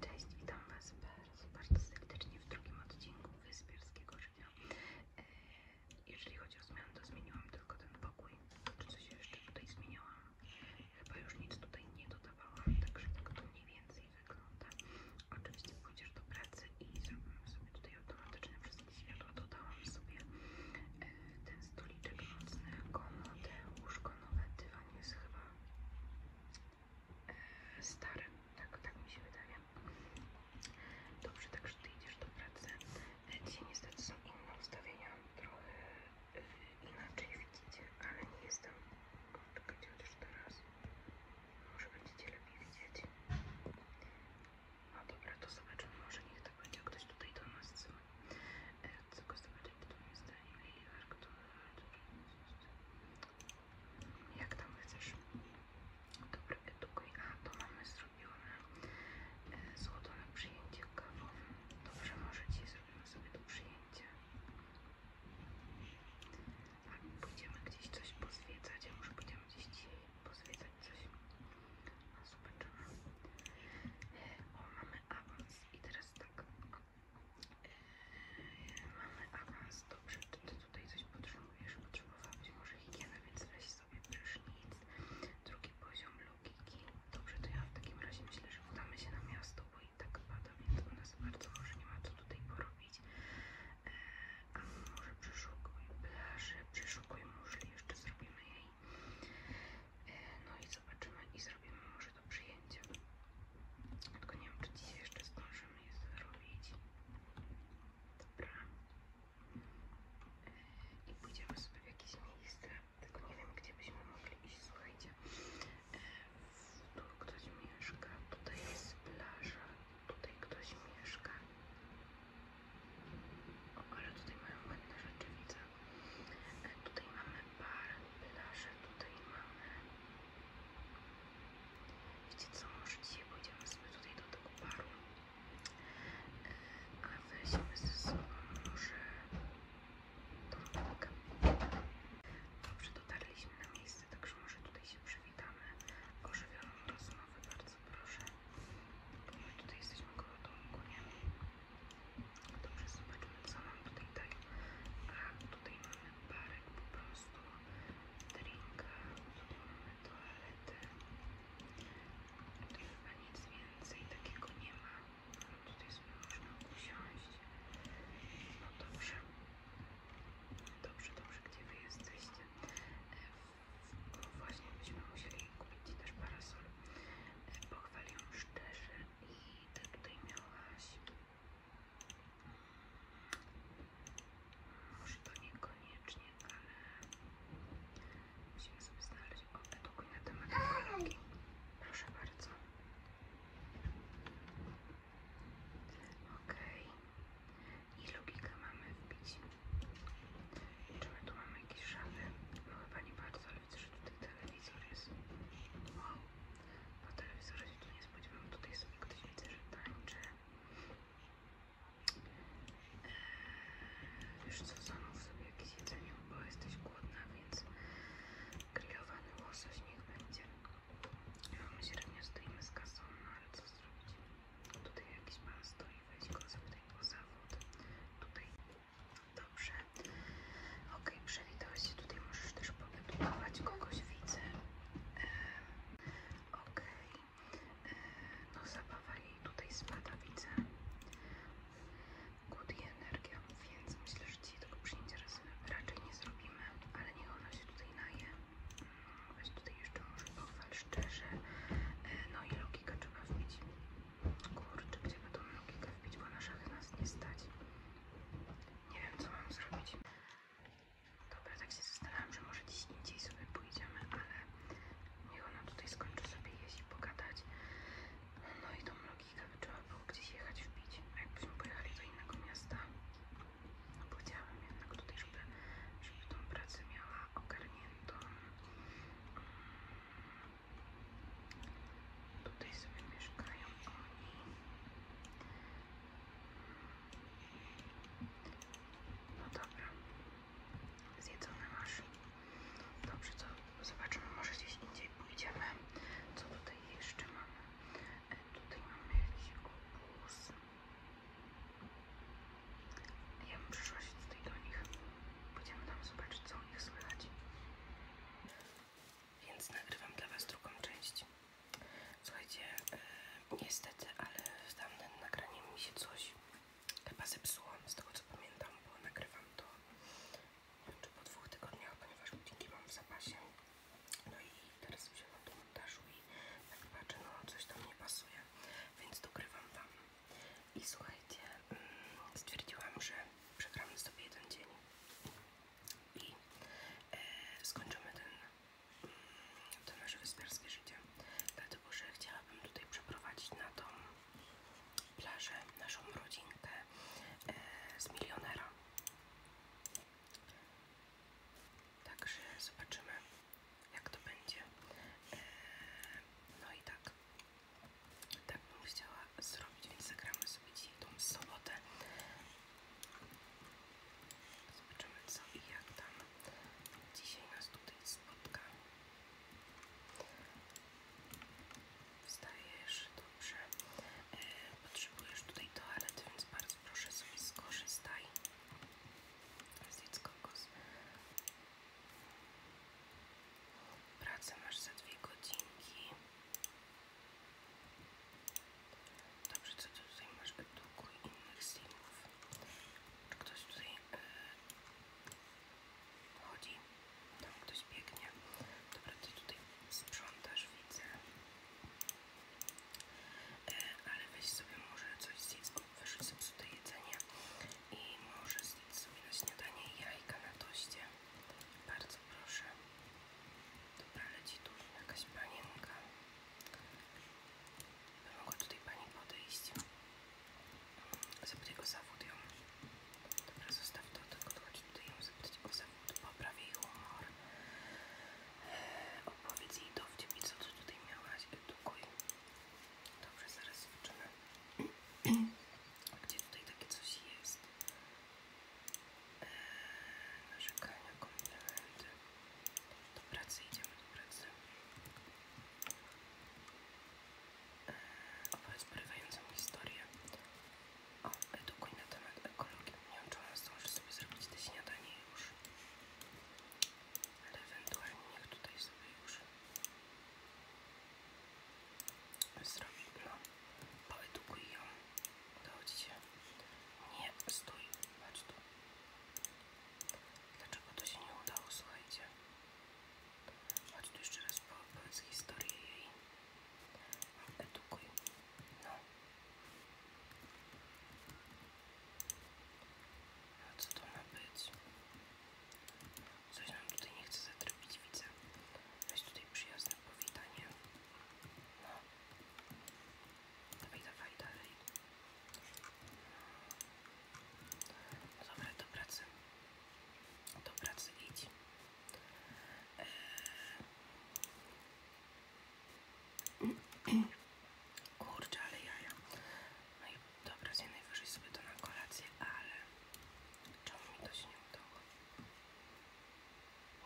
Cześć, witam Was bardzo, bardzo serdecznie w drugim odcinku Wyspiarskiego Życia. E, jeżeli chodzi o zmiany, to zmieniłam tylko ten pokój. Czy coś jeszcze tutaj zmieniłam? Chyba już nic tutaj nie dodawałam, także tak to mniej więcej wygląda. Oczywiście pójdziesz do pracy i zrobiłam sobie tutaj automatyczne wszystkie światła. Dodałam sobie e, ten stoliczek nocny, komodę, łóżko nowe, dywan jest chyba E, stare tak, tak mi się wydaje. Dobrze, także ty idziesz do pracy. E, dzisiaj niestety są inne ustawienia, trochę e, inaczej widzicie, ale nie jestem. Czekajcie chociaż teraz. Może będziecie lepiej widzieć. No dobra, to zobaczymy. Może niech to tak będzie ktoś tutaj do nas. Tylko zobaczyć, kto jest ten Liliwer, który... Jak tam chcesz? Dobry, edukuj. A, to mamy zrobione e, złoto na przyjęcie kawą. Dobrze, możecie zrobić zrobimy sobie to przyjęcie. Albo pójdziemy gdzieś coś pozwiedzać, a może będziemy gdzieś dzisiaj pozwiedzać coś. No, zobaczymy. E, o, mamy awans i teraz tak, Mamy awans, dobrze, czy ty tutaj coś potrzebujesz? Potrzebowałabyś może higiena, więc weź sobie prysznic. Drugi poziom logiki. Dobrze, to ja w takim razie myślę, że udamy się na miasto, bo i tak pada, więc u nas bardzo może nie ma co tutaj porobić. Eee, a może przeszukuj plażę, przeszukuj jeszcze zrobimy jej. E, no i co, zobaczymy i zrobimy może do przyjęcia Tylko nie wiem, czy dzisiaj jeszcze zdążymy je zrobić. Dobra. I pójdziemy sobie w jakieś miejsce. Tylko nie wiem, gdzie byśmy mogli iść. Słuchajcie, e, tu ktoś mieszka, tutaj jest plaża, tutaj ktoś mieszka. O, ale tutaj mamy ładne rzeczy, widzę. E, tutaj mamy parę plaży tutaj mamy. widzicie, co, może dzisiaj pójdziemy sobie tutaj do tego paru, e, a weźmy ze sobą może tą rąbkę. Dobrze, dotarliśmy na miejsce, także może tutaj się przywitamy. Ożywioną rozmowę, bardzo proszę. Bo my tutaj jesteśmy koło domku, nie? Dobrze, zobaczmy co nam tutaj daje. Tak. A tutaj mamy parę po prostu, drinka, tutaj mamy toaletę. Tutaj chyba nic więcej takiego nie ma. No tutaj sobie można usiąść. No dobrze. Dobrze, dobrze, gdzie wy jesteście? No właśnie byśmy musieli kupić ci też parasol. E, pochwaliłam szczerze i ty tutaj miałaś może to niekoniecznie, ale musimy sobie znaleźć o edukuj na temat tak. ekologii. Proszę bardzo. Okej. Okay. I logikę mamy wbić. Czy my tu mamy jakieś szafy? No chyba nie bardzo, ale widzę, że tutaj telewizor jest. Wow. Bo telewizora się tu nie spodziewałam. Tutaj sobie ktoś widzę, że tańczy. Eee, wiesz co, zamów sobie jakieś jedzenie, bo jesteś głodna, więc grillowany łosoś niech będzie. Ja my średnio stoimy z kasą, no ale co zrobić? Tutaj jakiś pan i weź go zapytaj o zawód. Tutaj Dobrze. Ok, przywitałeś się. Tutaj możesz też powiadomować kogoś widzę. ok. no zabawa jej tutaj spada, widzę. Good energia, więc myślę, że dzisiaj tego przyjęcia raczej nie zrobimy, ale niech ona się tutaj naje. Mm, weź tutaj jeszcze może pochwal szczerze. E, no i logikę trzeba wbić. Kurczę, gdzie by tą logikę wbić, bo na szachy nas nie stać. Nie wiem, co mam zrobić. Dobra, tak się zastanawiam, że może gdzieś indziej sobie pójdziemy, ale niech ona tutaj skończy sobie jeść i pogadać. No i tą logikę by trzeba było gdzieś jechać wbić. A jakbyśmy pojechali do innego miasta, no powiedziałam jednak tutaj, żeby, żeby tą pracę miała ogarniętą. Tutaj sobie mieszkają oni. No dobra. Zjedzone masz. Dobrze, co zobaczymy. Może gdzieś indziej pójdziemy. Co tutaj jeszcze mamy? E, tutaj mamy jakiś obóz. Ja bym przyszła się tutaj do nich. Pójdziemy tam zobaczyć, co u nich słychać więc nagrywam dla Was drugą część. Słuchajcie, y, niestety, ale w tamtym nagraniu mi się coś chyba zepsuło, z tego co pamiętam, bo nagrywam to nie po dwóch tygodniach, ponieważ budynki mam w zapasie. No i teraz wziąłem do montażu i tak patrzę, no coś tam nie pasuje, więc dogrywam Wam. I słuchajcie, mm, stwierdziłam, że przegramy sobie jeden dzień i e, skończymy ten, mm, to nasze wyspiarskie życie. Dlatego, że chciałabym tutaj przeprowadzić na tą plażę naszą rodzinkę e, z milionera. Także zobaczymy, jak to będzie. E, no i tak, tak bym chciała zrobić, więc zagramy sobie dzisiaj tą sobotę. Zobaczymy co i jak tam dzisiaj nas tutaj spotka. Wstajesz dobrze. E, potrzebujesz tutaj toalety, więc bardzo proszę sobie skorzystaj. dziecko kos. Pracę masz za dwie godzinki. Dobrze, co ty tutaj masz od długu innych streamów? Czy ktoś tutaj yy, chodzi? Tam ktoś biegnie. Dobra, ty tutaj sprzątasz, widzę. Yy, ale weź sobie może coś zjedz, bo wyszli sobie tutaj jedzenia i może zjedz sobie na śniadanie jajka na doście. Bardzo proszę. Dobra, leci tu jakaś panienka. By mogła tutaj pani podejść. Zapytaj go zawód ją. Dobra, zostaw to, tylko chodź tutaj ją zapytać o zawód. Popraw jej humor. Eee, opowiedz jej dowcip i co ty tutaj miałaś. Edukuj. Dobrze, zaraz zobaczymy. Gdzie tutaj takie coś jest? narzekania, komplementy. Do pracy idziemy, do pracy. E, opowiedz porywającą historię. O, edukuj na temat ekologii. Nie wiem, czy ona zdąży sobie zrobić te śniadanie już. Ale ewentualnie niech tutaj sobie już zrobi. No poedukuj ją, udało ci się, nie, stój, patrz tu, dlaczego to się nie udało, słuchajcie, chodź tu jeszcze raz, powiedz historię jej, edukuj, no, a co to ma być? Coś nam tutaj nie chce zatropić, widzę. Weź tutaj przyjazne powitanie. No. Dawaj, dawaj, dalej. No dobra, do pracy. Do pracy idź. Eee. Kurczę, ale jaja. No i dobra, najwyżej sobie to na kolację, ale czemu mi to się nie udało?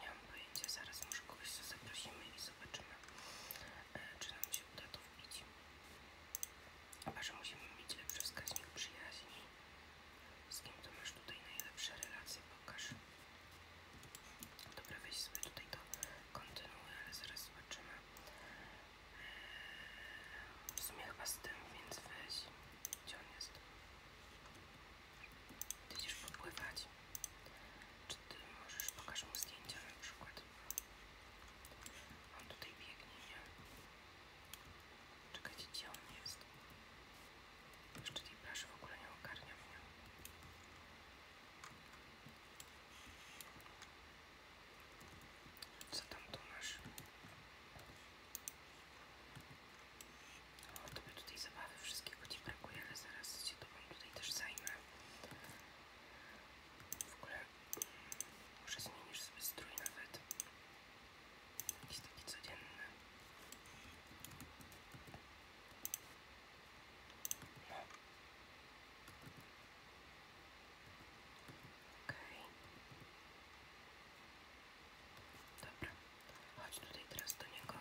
Nie mam zaraz może kogoś zaprosimy i zobaczymy, e, czy nam się uda to wbić. Chyba, że musimy mieć lepszy wskaźnik przyjaźni. Z kim to masz tutaj najlepsze relacje? Pokaż. Dobra, weź sobie tutaj to kontynuuję, ale zaraz zobaczymy. E, w sumie chyba z tym, więc weź. Gdzie on jest? Ty idziesz popływać. Czy ty możesz, pokaż mu zdjęcia na przykład. On tutaj biegnie, nie? Czekajcie, gdzie on jest? Jeszcze tej plaży w ogóle nie ogarnia mnie. Co tam tu masz? O, tobie tutaj zabawy wszystkiego ci brakuje, ale zaraz się tobą tutaj też zajmę. W ogóle może zmienisz sobie strój nawet. jest taki codzienny. No. Okej. Dobra. Chodź tutaj teraz do niego.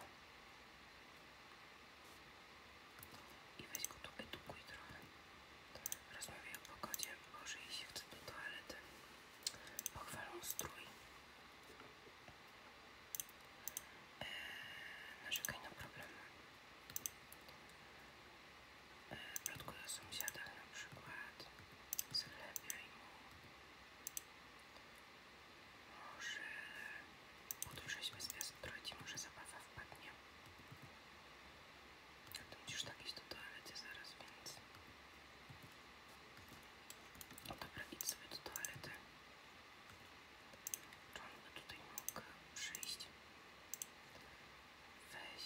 I weź go tu edukuj trochę. Rozmawiaj o pogodzie. Boże, jeśli chce do toalety. Pochwalą strój. Eee, narzekaj na problemy. Eee, Plotkuj o na przykład. Zlepiaj mu. Może podwyższyćmy zwiastun, trochę ci może zabawa wpadnie. A ty musisz jakieś do toalety zaraz, więc... No dobra, idź sobie do toalety. Czy on by tutaj mógł przyjść? Weź.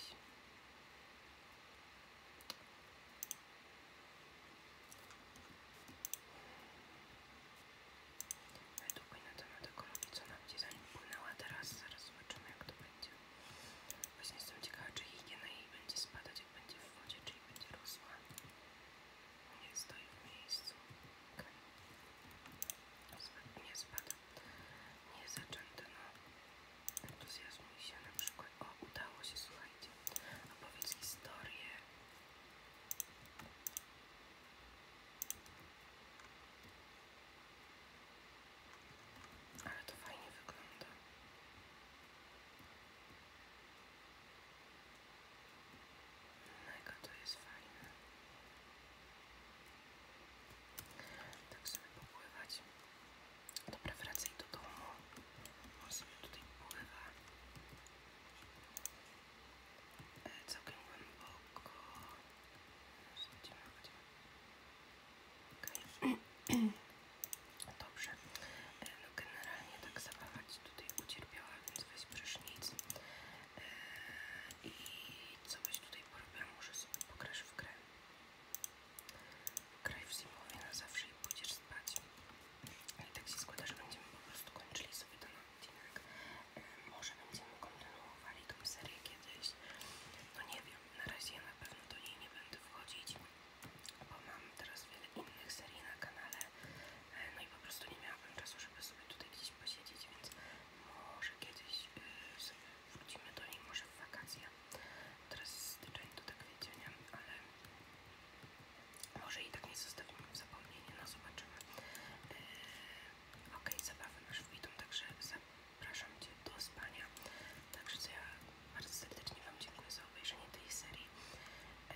Edukuj na temat ekologii, co nam gdzie zanim płynęła teraz, zaraz zobaczymy jak to będzie. Właśnie jestem ciekawa, czy higiena jej będzie spadać, jak będzie w wodzie, czy będzie rosła. Nie stoi w miejscu. Okay. Nie spada. Nie zaczęte, no entuzjazmuj się na przykład. O, udało się, słuchajcie. Opowiedz historię. Ale to fajnie wygląda. Mega to jest fajne. Tak sobie popływać. Dobra, wracaj do domu. On sobie tutaj pływa. E, całkiem głęboko. Chodzimy, chodzimy. Okay. Dobrze. E, no generalnie tak zabawa ci tutaj ucierpiała, więc weź prysznic. E, I co byś tutaj porobiła? Może sobie pokrasz w grę. Kraj w zimowie na zawsze i pójdziesz spać. I tak się składa, że będziemy po prostu kończyli sobie ten odcinek. Może będziemy kontynuowali tą serię kiedyś. No nie wiem, na razie ja na pewno do niej nie będę wchodzić, bo mam teraz wiele innych serii na kanale. E, no i po prostu nie miałabym czasu, żeby sobie tutaj gdzieś posiedzieć, więc może kiedyś y, sobie wrócimy do niej może w wakacje. Teraz styczeń to tak wiecie, nie? ale może i tak nie zostawimy w zapomnieniu, no zobaczymy. Yy, ok, zabawy masz w witum, także zapraszam Cię do spania. Także ja bardzo serdecznie Wam dziękuję za obejrzenie tej serii. Yy,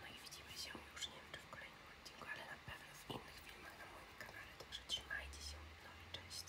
no i widzimy się już nie wiem czy w kolejnym odcinku, ale na pewno w innych filmach na moim kanale. Także trzymajcie się, no i cześć.